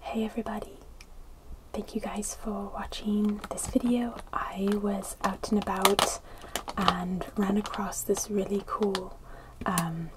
Hey everybody, thank you guys for watching this video. I was out and about and ran across this really cool, um,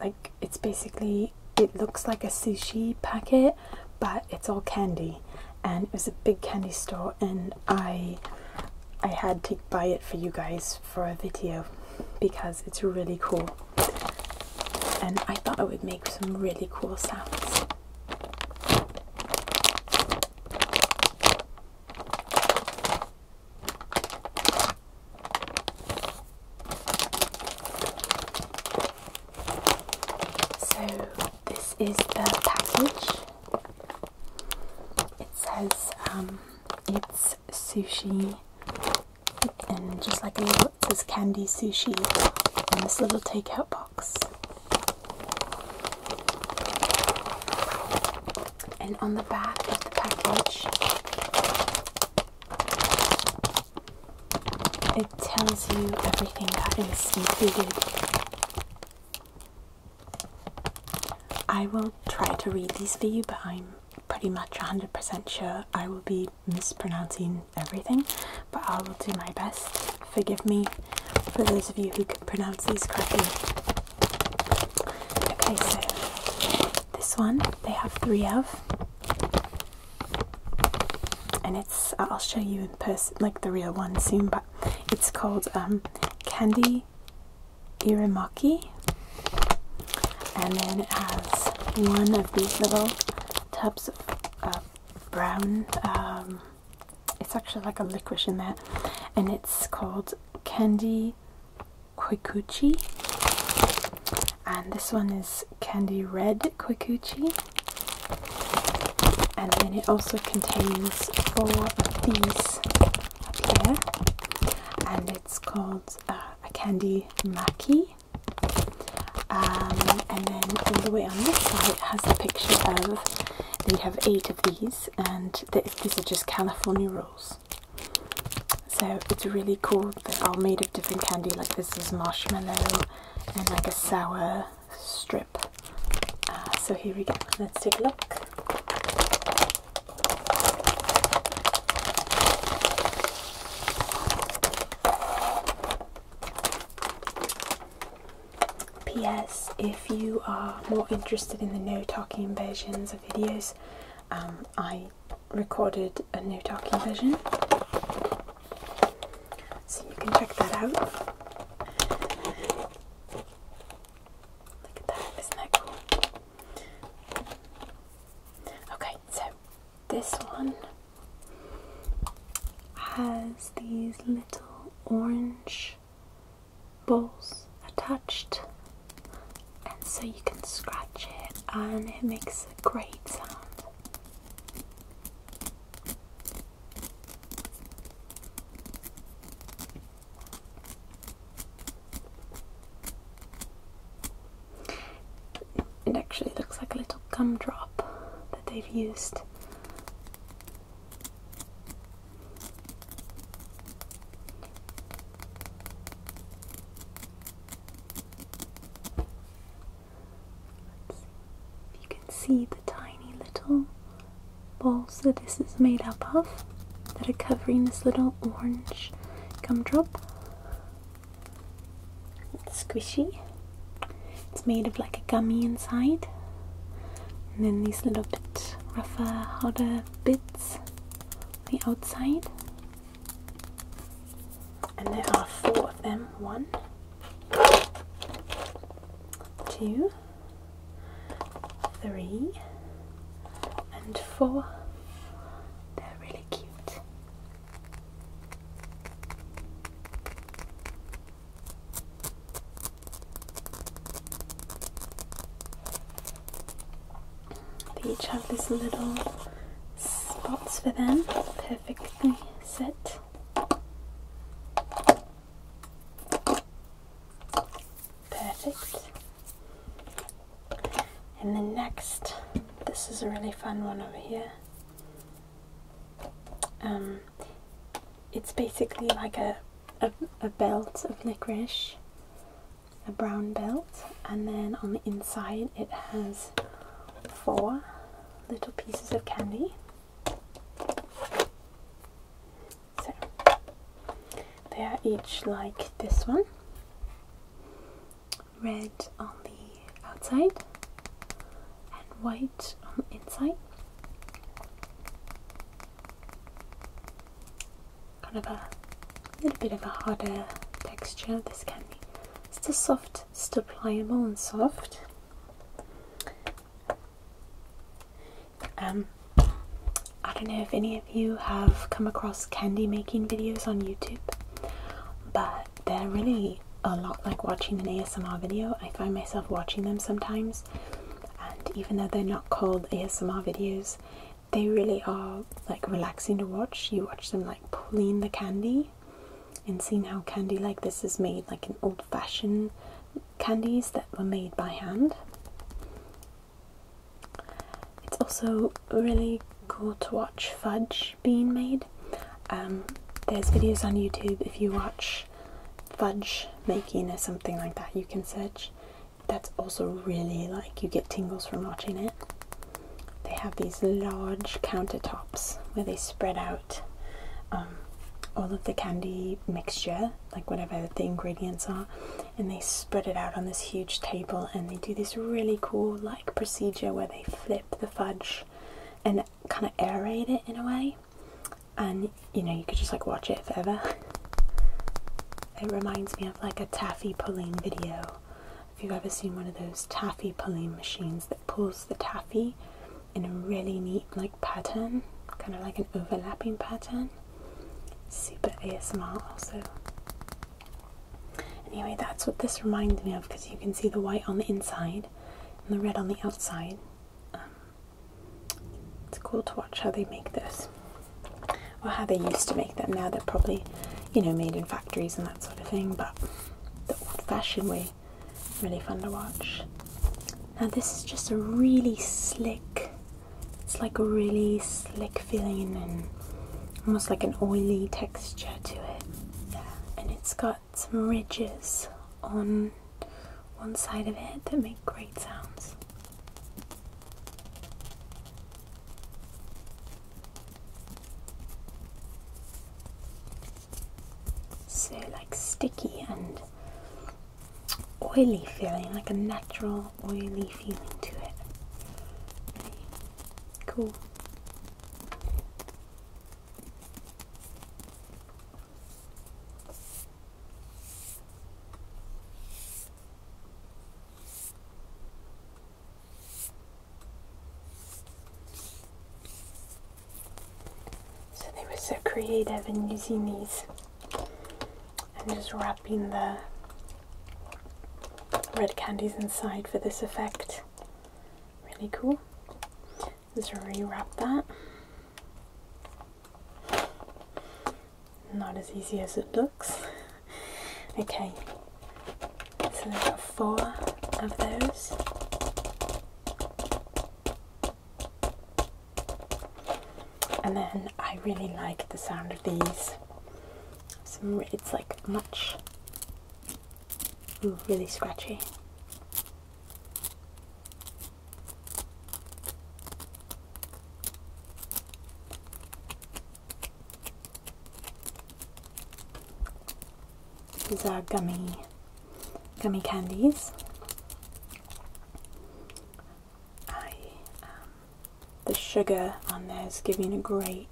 like it's basically, it looks like a sushi packet but it's all candy and it was a big candy store in I I had to buy it for you guys for a video because it's really cool and I thought it would make some really cool sounds. So this is the package. It says um, it's sushi, and just like a little, it candy sushi in this little takeout box. And on the back of the package, it tells you everything that is included I will try to read these for you, but I'm pretty much 100% sure I will be mispronouncing everything, but I will do my best. Forgive me for those of you who can pronounce these correctly. Okay, so this one they have three of, and it's I'll show you in person, like the real one soon, but it's called um, Candy Irimaki, and then it has one of these little tubs of brown. Um, it's actually like a licorice in there, and it's called Candy Koikuchi. And this one is Candy Red Koikuchi. And then it also contains four of these up here, and it's called uh, a candy maki. Um, and then all the way on this side has a picture of you have eight of these, and these are just California rolls. So it's really cool. They're all made of different candy. Like this is marshmallow and like a sour strip. Uh, so here we go. Let's take a look. P.S. If you are more interested in the no talking versions of videos, um, I recorded a no talking version, so you can check that out. Look at that, isn't that cool? Okay, so this one has these little orange balls attached, and so you can scratch it, and it makes a great sound. It actually looks like a little gumdrop that they've used. if you can see the tiny little balls that this is made up of that are covering this little orange gumdrop. It's squishy. It's made of like a gummy inside. And then these little bit rougher, harder bits the outside. And there are four of them. One, two, three, and four. They're really cute. They each have these little spots for them, perfectly set. Perfect. And the next, this is a really fun one over here. Um, it's basically like a, a, a belt of licorice, a brown belt, and then on the inside it has four little pieces of candy. So they are each like this one red on the outside and white on the inside. Kind of a little bit of a harder texture. This candy. be still soft, still pliable and soft. Um, I don't know if any of you have come across candy making videos on YouTube, but they're really a lot like watching an ASMR video. I find myself watching them sometimes, and even though they're not called ASMR videos, they really are like relaxing to watch. You watch them like pulling the candy and seeing how candy like this is made, like in old fashioned candies that were made by hand. It's also really cool to watch fudge being made. Um, there's videos on YouTube if you watch fudge making or something like that, you can search. That's also really like you get tingles from watching it. They have these large countertops where they spread out um, all of the candy mixture, like whatever the ingredients are, and they spread it out on this huge table and they do this really cool like procedure where they flip the fudge and kind of aerate it in a way and you know you could just like watch it forever it reminds me of like a taffy pulling video if you've ever seen one of those taffy pulling machines that pulls the taffy in a really neat like pattern kind of like an overlapping pattern Super ASMR also. Anyway, that's what this reminds me of because you can see the white on the inside and the red on the outside. Um, it's cool to watch how they make this, or how they used to make them. Now they're probably, you know, made in factories and that sort of thing, but the old fashioned way, really fun to watch. Now, this is just a really slick it's like a really slick feeling and almost like an oily texture to it. Yeah. And it's got some ridges on one side of it that make great sounds. So like sticky and oily feeling, like a natural oily feeling to it. Cool. So they were so creative in using these and just wrapping the red candies inside for this effect. Really cool. let Just rewrap that. Not as easy as it looks. okay, so I've got four of those. And then I really like the sound of these. Some, it's like much, really scratchy. These are gummy, gummy candies. Um, the sugar on there is giving a great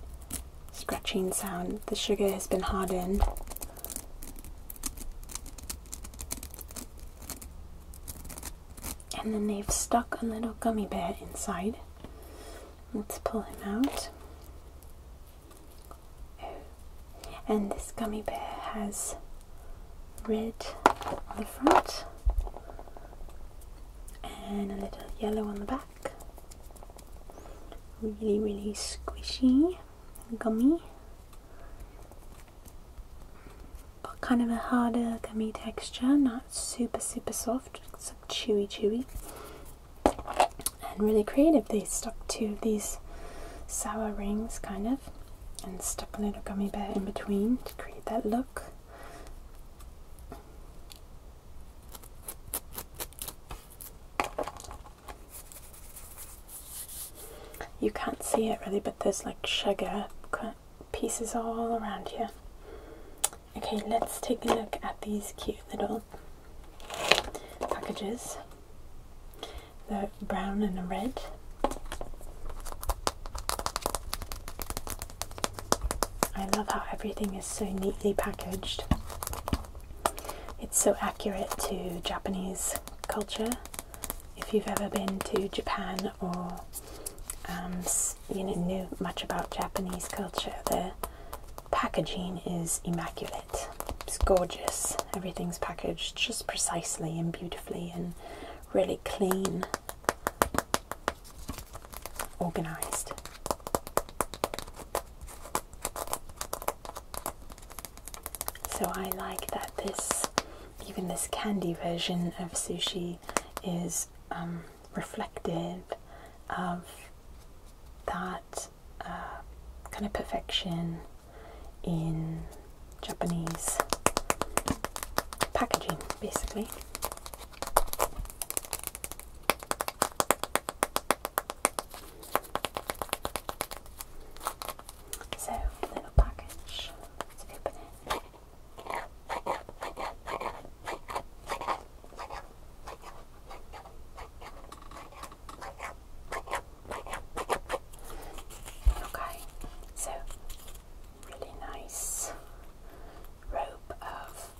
scratching sound. The sugar has been hardened. And then they've stuck a little gummy bear inside. Let's pull him out. And this gummy bear has red on the front and a little yellow on the back. Really, really squishy, gummy, but kind of a harder gummy texture, not super, super soft, It's some chewy, chewy. And really creative, they stuck two of these sour rings kind of and stuck a little gummy bear in between to create that look. You can't see it really, but there's like sugar pieces all around here. Okay, let's take a look at these cute little packages. The brown and the red. I love how everything is so neatly packaged. It's so accurate to Japanese culture. If you've ever been to Japan or um, you know, knew much about Japanese culture, the packaging is immaculate. It's gorgeous. Everything's packaged just precisely and beautifully and really clean organized. So I like that this, even this candy version of sushi, is um, reflective of that uh, kind of perfection in Japanese packaging, basically. So, little package. Let's open it. Okay, so really nice rope of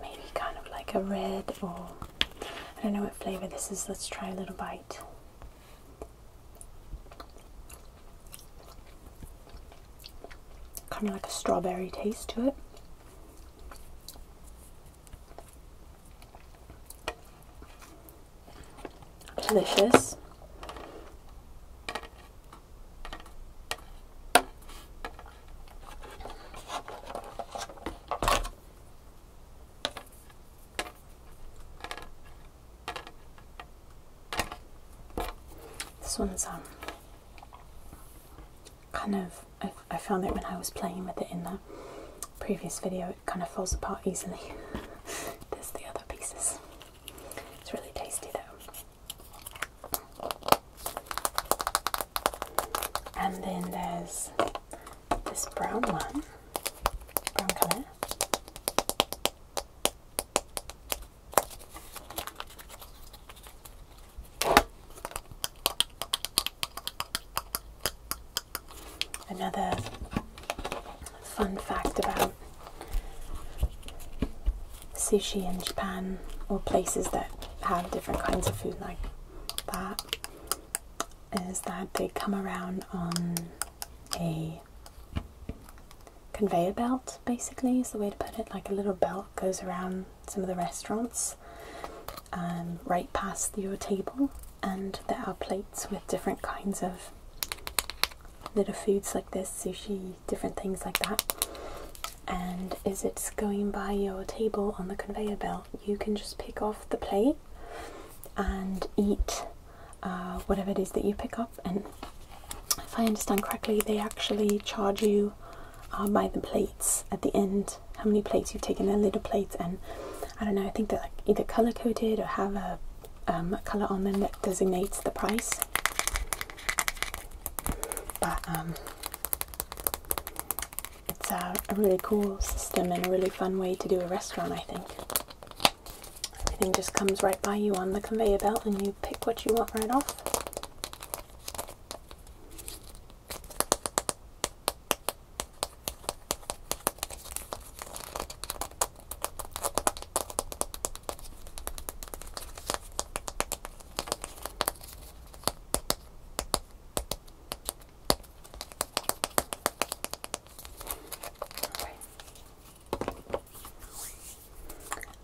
maybe kind of like a red or I don't know what flavor this is. Let's try a little bite. Kind of like a strawberry taste to it. Delicious. This one's um kind of I, I found that when I was playing with it in the previous video. It kind of falls apart easily. There's the other pieces. It's really tasty though. And then there's this brown one, brown colour. Another fun fact about sushi in Japan or places that have different kinds of food like that is that they come around on a conveyor belt basically is the way to put it like a little belt goes around some of the restaurants um, right past your table and there are plates with different kinds of little foods like this sushi different things like that. And as it's going by your table on the conveyor belt, you can just pick off the plate and eat uh, whatever it is that you pick up. And if I understand correctly, they actually charge you uh, by the plates at the end, how many plates you've taken, their little plates. And I don't know, I think they're like either color coded or have a um, color on them that designates the price. But um, it's a, a really cool system and a really fun way to do a restaurant, I think. Everything just comes right by you on the conveyor belt and you pick what you want right off.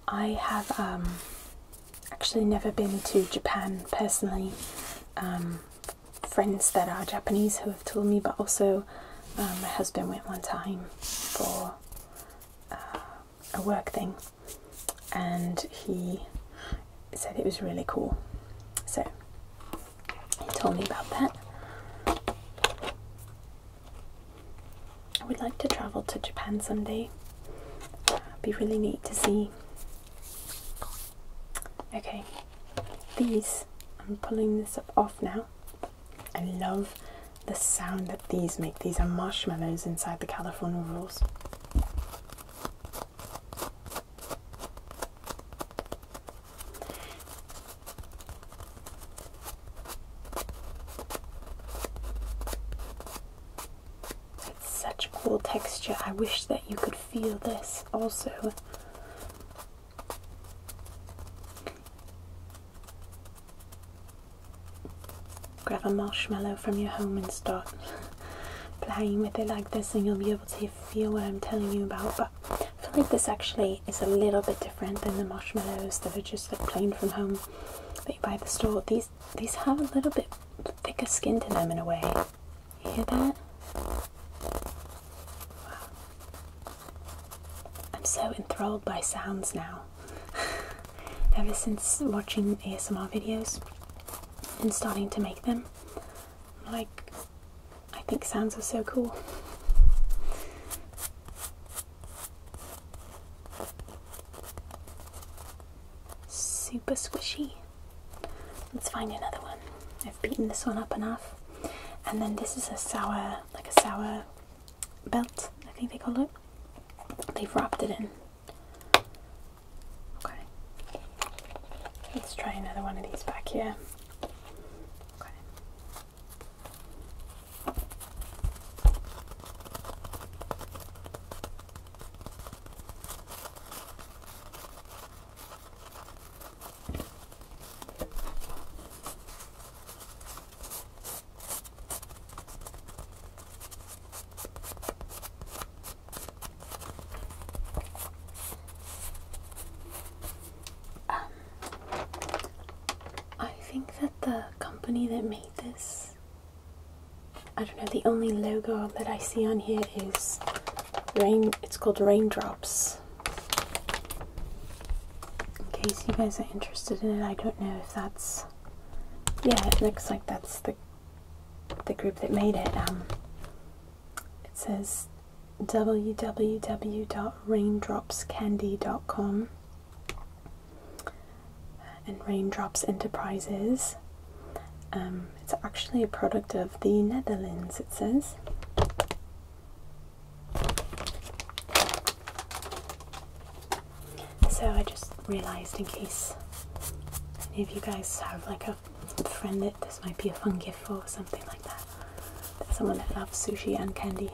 I have um, actually never been to Japan personally. Um, friends that are Japanese who have told me, but also um, my husband went one time for uh, a work thing, and he said it was really cool. So he told me about that. I would like to travel to Japan someday. It'd be really neat to see. Okay, these I'm pulling this up off now. I love the sound that these make. These are marshmallows inside the California rolls. It's such a cool texture. I wish that you could feel this also. Grab a marshmallow from your home and start playing with it like this, and you'll be able to feel what I'm telling you about. But I feel like this actually is a little bit different than the marshmallows that are just like plain from home that you buy at the store. These these have a little bit thicker skin to them in a way. hear that? I'm so enthralled by sounds now. ever since watching ASMR videos and starting to make them. Like, I think sounds are so cool. Super squishy. Let's find another one. I've beaten this one up enough. And then this is a sour, like a sour belt, I think they call it. They've wrapped it in. Okay. Let's try another one of these back here. Okay. Um, I think that the company that made this, I don't know, the only logo that I see on here is rain, it's called Raindrops. In case you guys are interested in it, I don't know if that's yeah, it looks like that's the the group that made it. Um, it says www.raindropscandy.com and Raindrops Enterprises. Um, it's actually a product of the Netherlands, it says. So I just realised in case any of you guys have like a friend that this might be a fun gift for or something like that. someone that loves sushi and candy.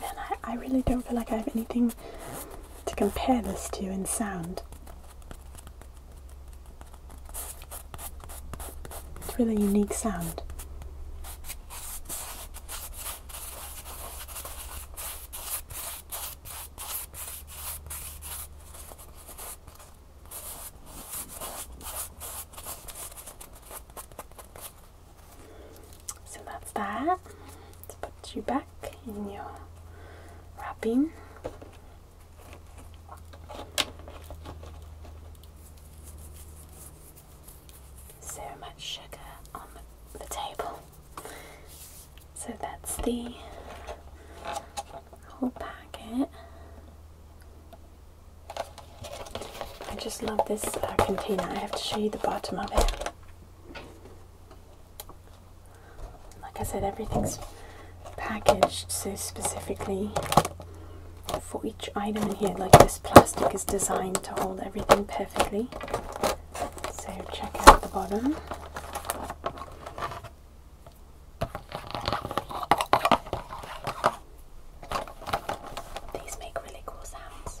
Man, I, I really don't feel like I have anything to compare this to in sound. It's really unique sound. So that's that. Let's put you back in your wrapping. So much sugar on the table. So that's the whole packet. I just love this uh, container. I have to show you the bottom of it. Like I said, everything's packaged so specifically for each item in here. Like this plastic is designed to hold everything perfectly. So check out the bottom. These make really cool sounds.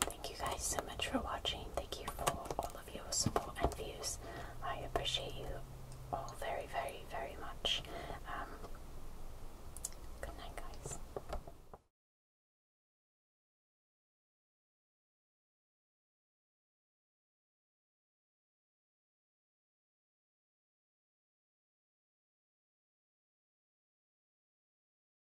Thank you guys so much for watching. Thank you for all of your support and views. I appreciate you all very, very, very much. Um, good night, guys.